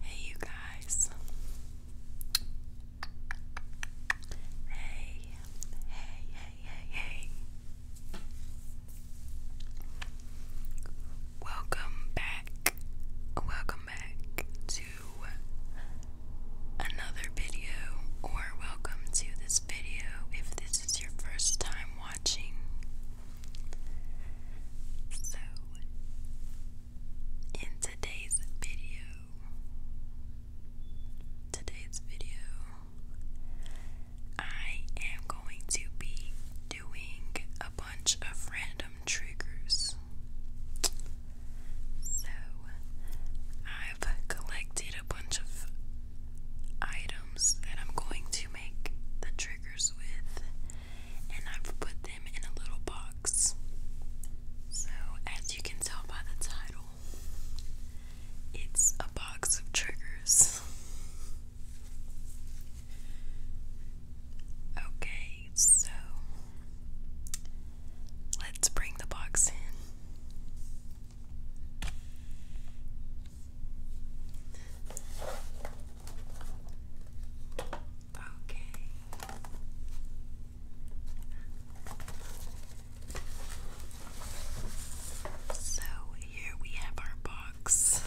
Hey, you guys. Hey, hey, hey, hey, hey. Welcome back. Welcome back to another video, or welcome to this video if this is your first time watching. So, in today's video, today's video, I am going to be doing a bunch of random triggers. So, I've collected a bunch of items that I'm going to make the triggers with and I've put them in a little box. So, as you can tell by the title, it's a box of triggers. okay, so let's bring the box in. Okay. So here we have our box.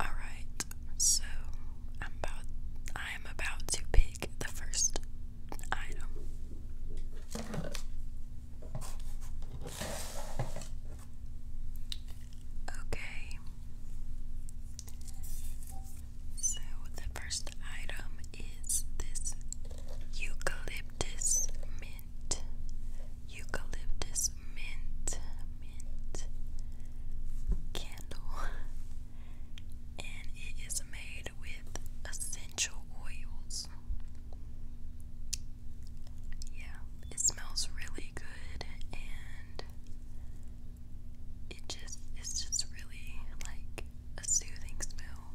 Alright, so I'm about I am about to pick the first item. Okay. So the first item is this eucalyptus eucalyptus mint, mint candle, and it is made with essential oils. Yeah, it smells really good and it just is just really like a soothing smell.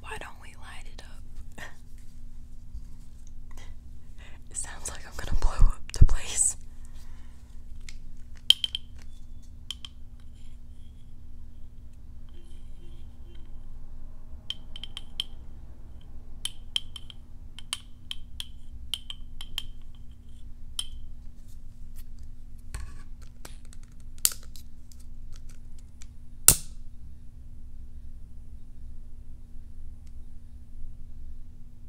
Why don't we light it up? It sounds like I'm gonna blow up the place.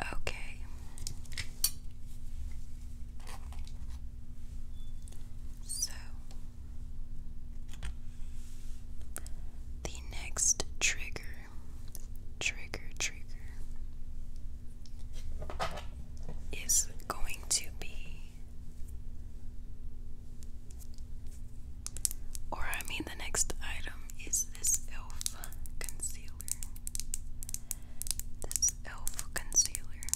Okay. Okay. So the next trigger, trigger, trigger is going to be, or I mean, the next item is this e.l.f. concealer. This e.l.f. concealer.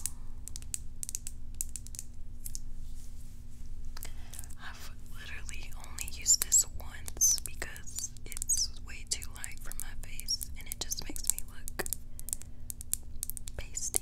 I've literally only used this once because it's way too light for my face and it just makes me look pasty.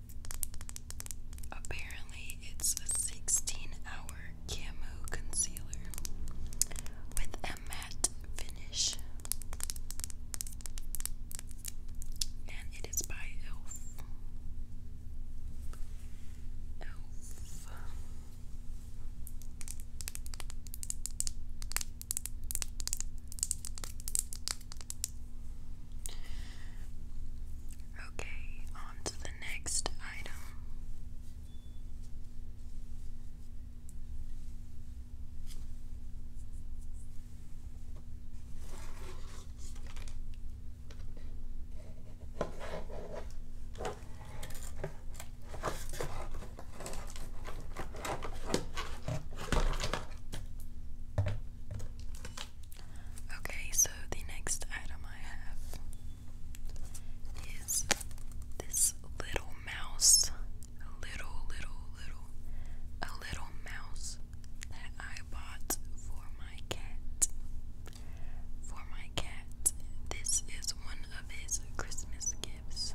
Apparently, it's a 16 hour camo concealer with a matte finish. And it is by e.l.f. Okay, on to the next item. Okay, so the next item I have is this little mouse. A little, little, little, a little mouse that I bought for my cat. For my cat. This is one of his Christmas gifts.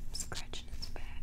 I'm scratching his back.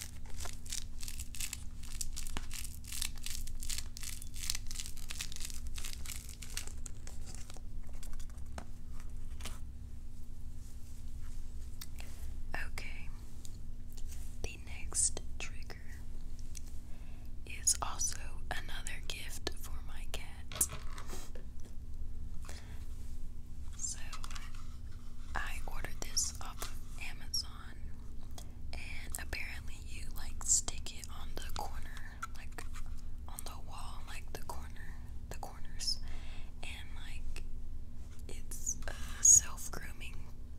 Okay, the next trigger is also another gift for my cat. So I ordered this off Amazon, and apparently you like stick it on the corner, like on the wall, like the corner, the corners, and like it's a self-grooming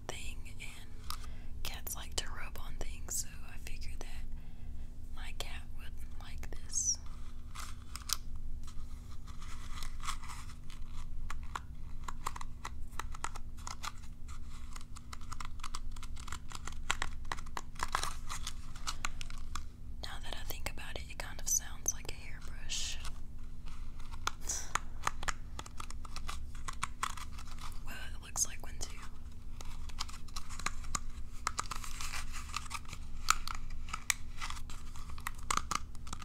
thing, and cats like to rub on things, so I figured that my cat wouldn't like this. Now that I think about it, it kind of sounds like a hairbrush. well, it looks like one too.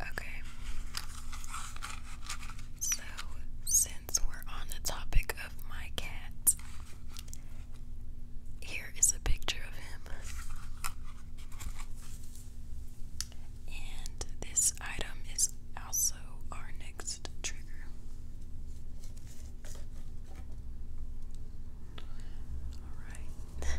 Okay. So, since we're on the topic of my cat, here is a picture of him. And this item is also our next trigger. Alright.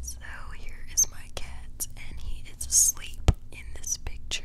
so here is my cat, and he is asleep in this picture.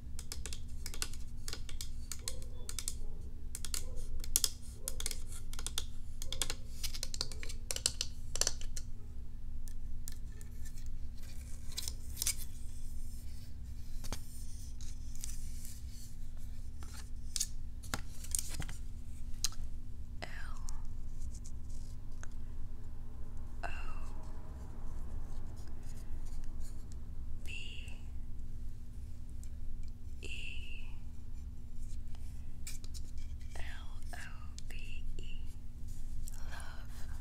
L O B E L O V E Love.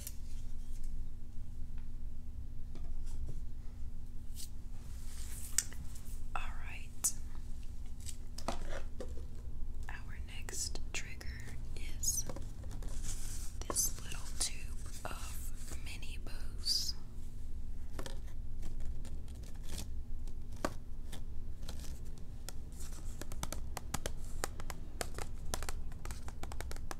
All right. Our next trigger is this little tube of mini bows.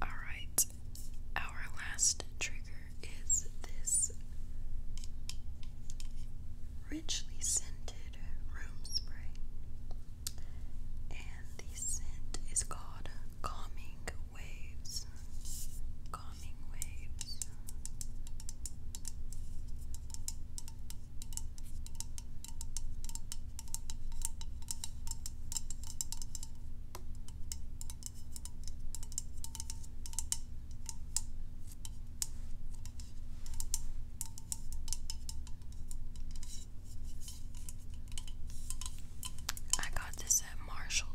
All right, our last trigger is this richly scented room spray, and the scent is called Calming waves, calming waves. I got this was at Marshall's.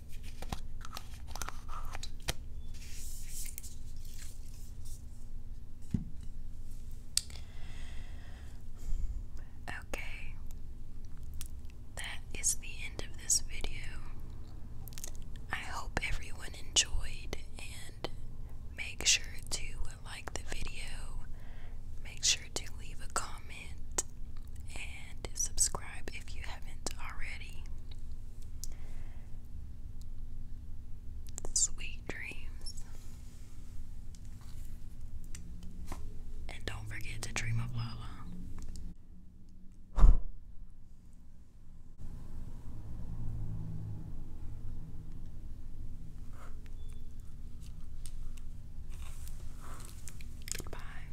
Okay, that is the end of this video. I hope everyone enjoyed, and make sure to like the video, make sure to leave a comment, and subscribe if you haven't already. Sweet dreams. And don't forget to dream of Lala. Bye.